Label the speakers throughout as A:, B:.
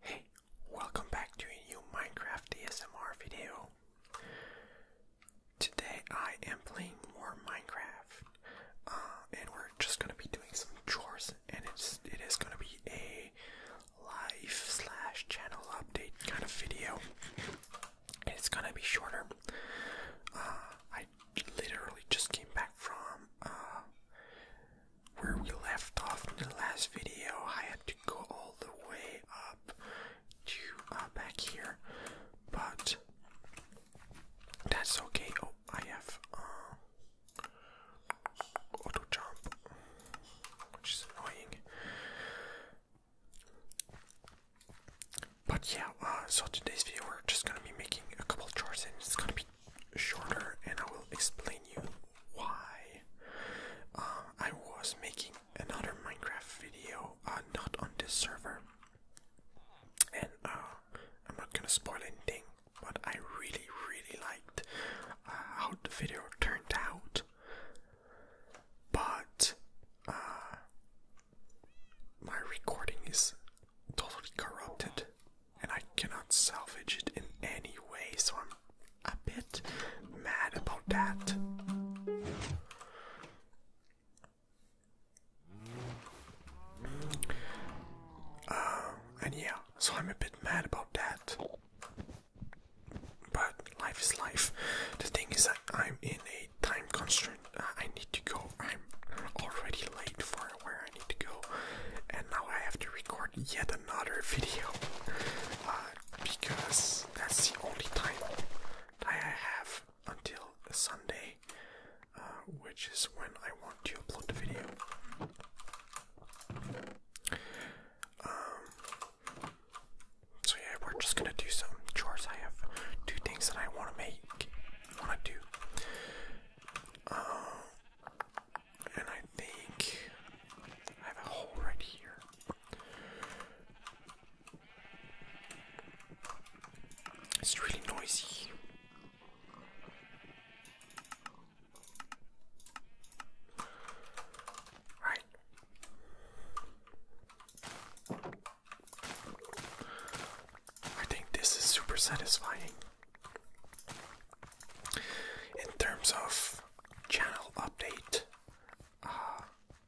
A: Hey, welcome back to a new Minecraft ASMR video. Today I am playing more Minecraft, uh, and we're just gonna be doing some chores, and it's is gonna be a life slash channel update kind of video. it's gonna be shorter. Uh, I literally just came back from uh, where we left off in the last video, I had to go all the way up to uh, back here, but that's okay. Oh, I have uh, auto jump, which is annoying. But yeah, uh, so today's video we're just gonna be making a couple charts and it's gonna be shorter, and I will explain you why. Uh, I was making another Minecraft video, uh, not on this server, and uh, I'm not gonna spoil anything. But I really, really liked uh, how the video turned out. But my recording is totally corrupted and I cannot salvage it in any way, so I'm a bit mad about that. Uh, and yeah, so I'm a bit mad about that. But life is life. The thing is that I'm in a time constraint. I need to go. I'm already late for where I need to go, and now I have to record yet another video uh, because that's the only time that I have until Sunday, uh, which is when I want to upload the video. Um, so yeah, we're just gonna do some chores. I have two things that I want to make, want to do. Um, and I think I have a hole right here. It's really noisy. Right. I think this is super satisfying. In terms of channel update, uh,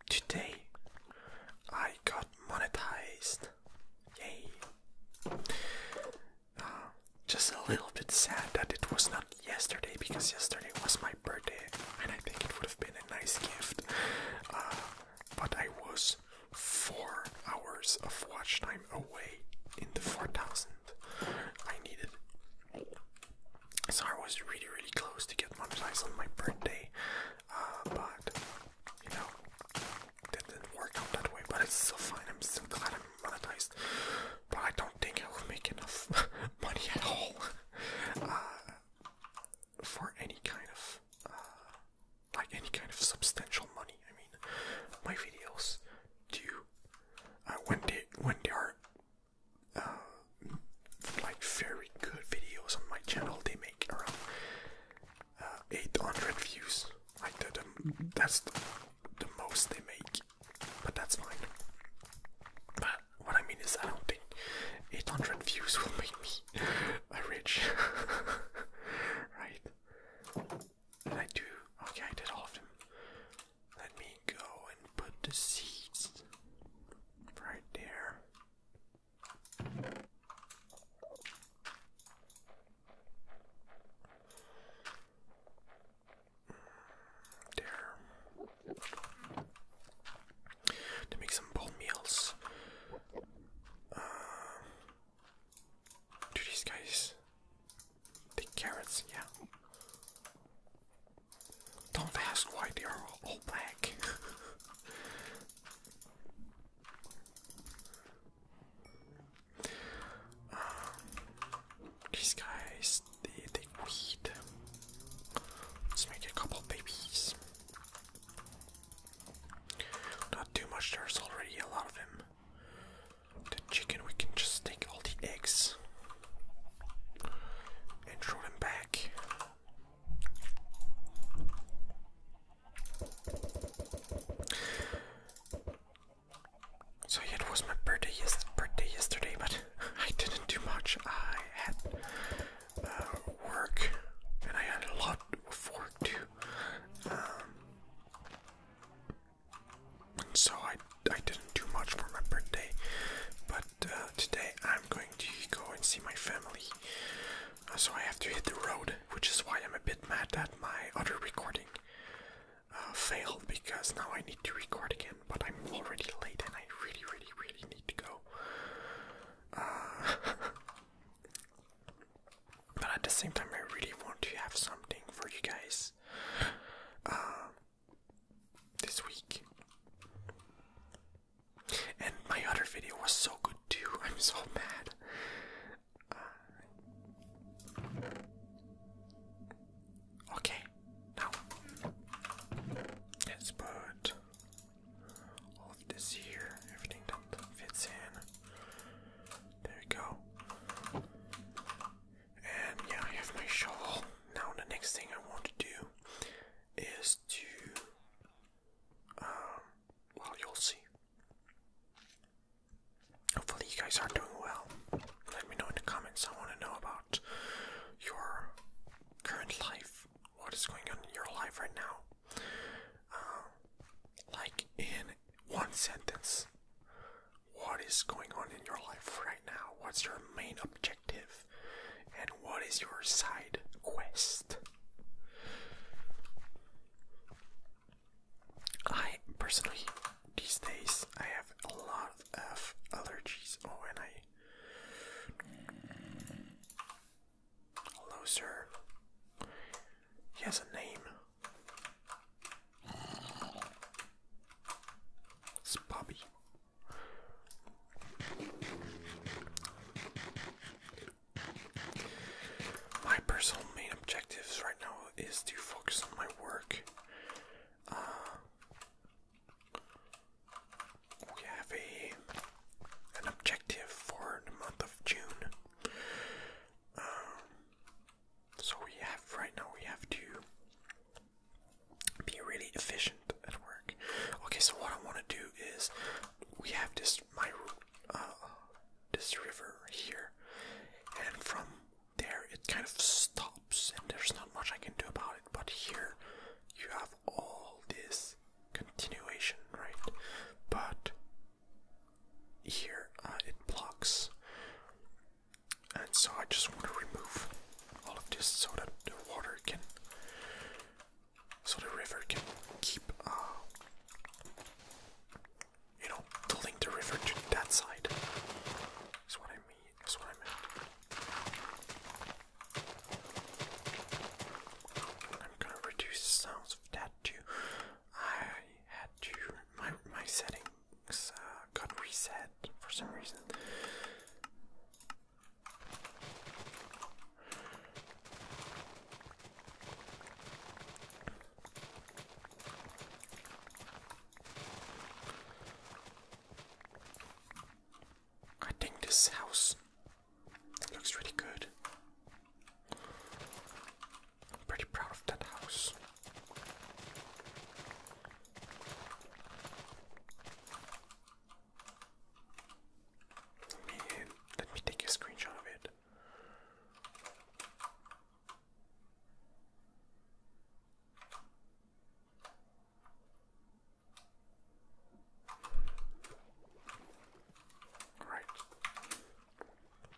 A: today I got monetized. Yay! Uh, just a little bit sad that it was not yesterday because yesterday was my birthday and I think it would have been a nice gift. Uh, but I was four hours of watch time away in the 4000. I needed. So I was really, really close to get monetized on my birthday, uh, but you know, didn't work out that way. But it's still fine. I'm still glad I'm monetized, but I don't think I will make enough money at all uh, for any kind of uh, like any kind of substantial money. I mean, my videos do uh, when they when they are uh, like very good videos on my channel, they make around uh, 800 views. Like the, the that's the, most they make, but that's fine. But what I mean is, I don't think 800 views will make me rich, right? I do? Okay, I did all of them. Let me go and put the seeds right there. There. To make some bone meals. Uh, do these guys take carrots? Yeah. Don't ask why they are all black. um, these guys, they take weed. Let's make a couple babies. Not too much, there's already a lot of them. The chicken, we can just take all the eggs and throw them back. So it was my birthday, yes, yesterday, but I didn't do much. I had uh, work, and I had a lot of work um, so I, I didn't do much for my birthday, but uh, today I'm going to go and see my family. Uh, so I have to hit the road, which is why I'm a bit mad that my other recording uh, failed because now I need to record again, but I'm already late and I really, really, really need to go. but at the same time I really want to have something for you guys um, this week. And my other video was so good too. I'm so mad. Uh, okay, now let's put this here. Everything fits in. There we go. And yeah, I have my shovel. Now the next thing I want to do is to um, well you'll see. Hopefully you guys are doing well. Let me know in the comments. I want to know about your current life. What is going on in your life right now? Um, like in one sentence, what is going on in your life right now? What's your main objective? And what is your side quest? I personally, these days, I have a lot of allergies. Oh, and I. Hello, sir. He has a name. It's Bobby. My personal main objectives right now is to focus on my work. Uh, we have a an objective for the month of June. Um, so we have right now we have to be really efficient at work. Okay, so what I want to do is we have this my uh, this river here, and from there it kind of stops, and there's not much I can do about it. But here you have all this continuation, right? But here uh, it blocks. And so I just want to remove all of this so that the water can, so the river can keep, uh, you know, tilting the river to that side. That's what I mean. That's what I meant. I'm gonna reduce the sounds of that I had to my my settings uh, got reset for some reason. I think this house Looks really good. I'm pretty proud of that house. Let me, let me take a screenshot of it. Alright.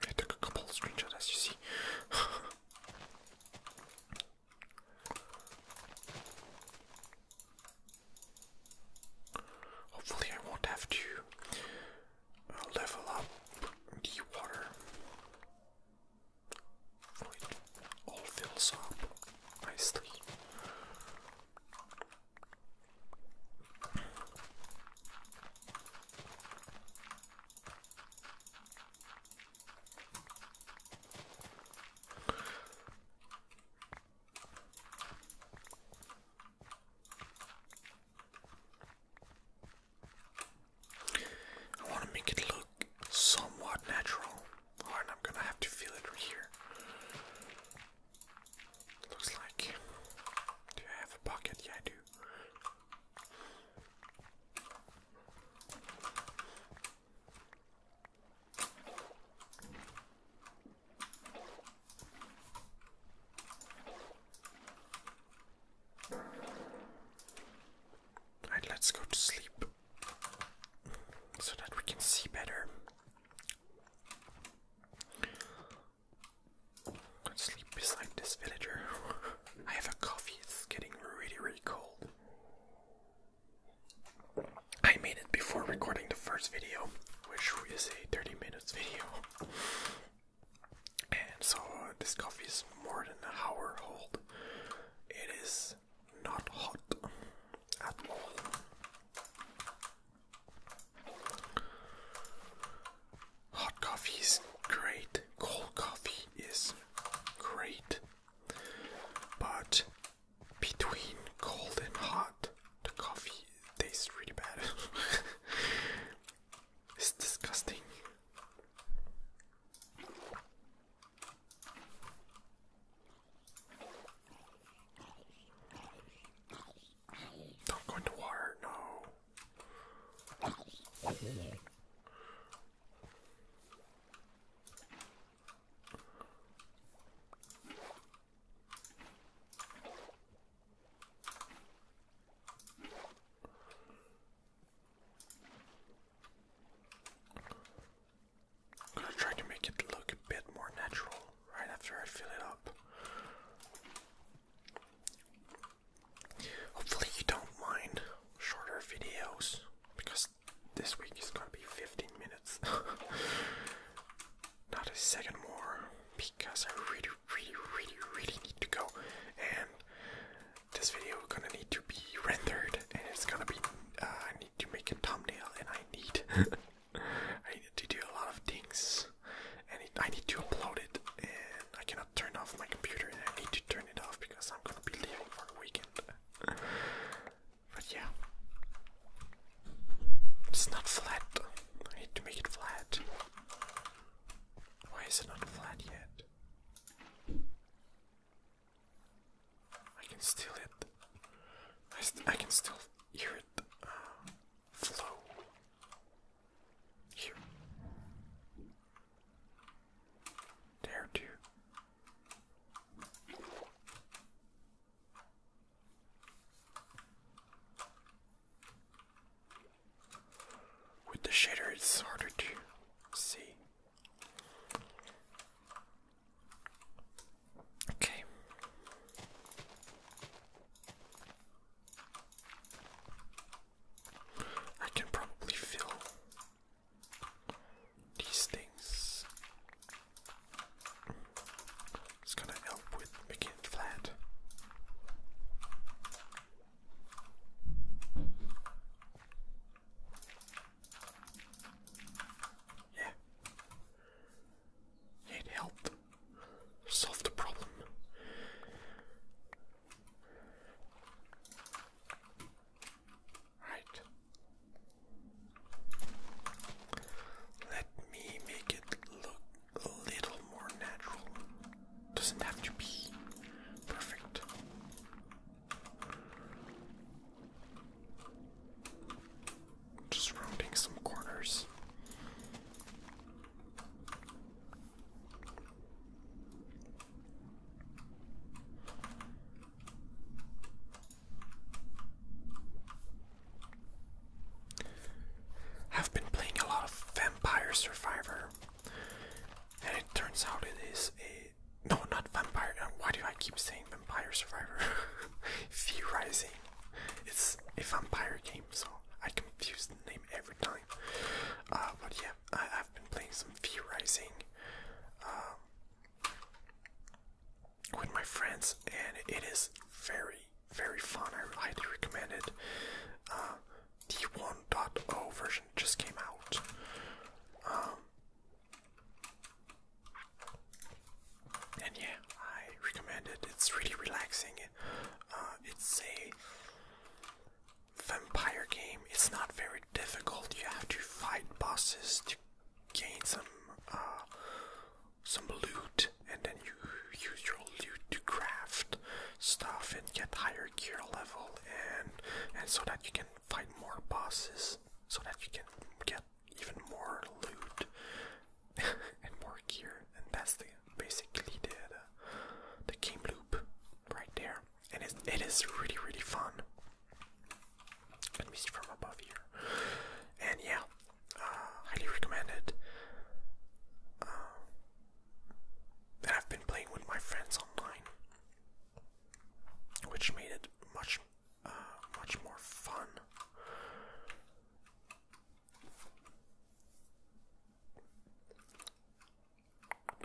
A: I took a couple of screenshots as you see. Hopefully, I won't have to uh, level up the water. It all fills up nicely. I want to make it look somewhat natural, or I'm gonna have to feel it right here. Looks like. Do I have a pocket? Yeah, I do. Alright, let's go to sleep so that we can see better sleep beside this villager. I have a coffee, it's getting really, really cold. I made it before recording the first video, which is a 30 minutes video. And so this coffee is more than an hour old. It is not hot at all. Hot coffee is great, cold coffee is great, but between cold and hot, the coffee tastes really bad. it's disgusting. Not going to water, no. I'm gonna try to make it look a bit more natural right after I fill it up. Hopefully, you don't mind shorter videos because this week is gonna be 15 minutes, not a second more, because I really, really, really, really need to go. And this video is gonna need to be rendered, and it's gonna be. Uh, I need to make a thumbnail, and I need. I need to do a lot of things. And I need to upload it, and I cannot turn off my computer, and I need to turn it off because I'm gonna be leaving for a weekend. but yeah, it's not flat. I need to make it flat. Why is it not flat yet? I can still hear it uh, flow. Here. There, too. With the shader, it's harder to see. Okay. I can probably fill these things. It's gonna help with making it flat. Yeah. Need help. Solve the problem. Right. Let me make it look a little more natural. Doesn't have to be perfect. Just rounding some corners. I've been playing a lot of Vampire Survivor, and it turns out it is a no, not vampire. Uh, why do I keep saying vampire survivor? Theorizing. It's a vampire game, so I confuse the name every time. Uh, but yeah, I, have been playing some theorizing um, with my friends, and it is very, very fun. I highly recommend it. Uh, the 1.0 version just came out. Um, and yeah, I recommend it. It's really relaxing. Uh, it's a vampire game. It's not very difficult. You have to fight bosses to gain some uh, some loot, and then you use your loot to craft stuff and get higher gear level, and so that you can fight more bosses, so that you can get even more loot and more gear, and that's the basically the the, game loop right there. And it, it is really really fun, at least from above here. And yeah, uh, highly recommended. Uh, I've been playing with my friends online, which made it much much more fun.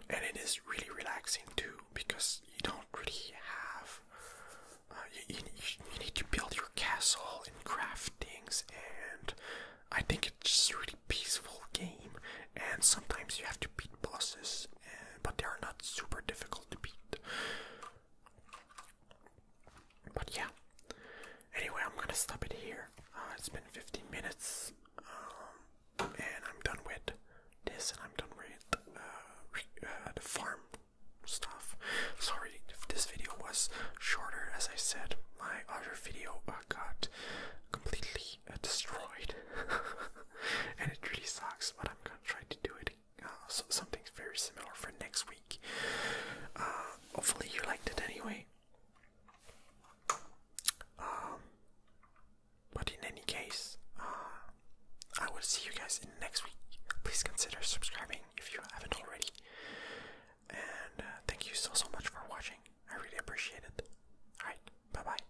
A: And it is really relaxing too because you don't really have. Uh, you, you, need to build your castle and craft things, and I think it's just really peaceful game. And sometimes you have to beat bosses but they are not super difficult to beat. But yeah. Anyway, I'm gonna stop it here. Uh, it's been 15 minutes, um, and I'm done with this, and I'm done with uh, uh, the farm stuff. Sorry if this video was shorter, as I said. My other video got completely destroyed, and it really sucks. But I'm gonna try to do it so something's very similar for next week. Uh, hopefully you liked it anyway. Um, but in any case, uh, I will see you guys in next week. Please consider subscribing if you haven't already. And uh, thank you so so much for watching. I really appreciate it. Alright, bye bye.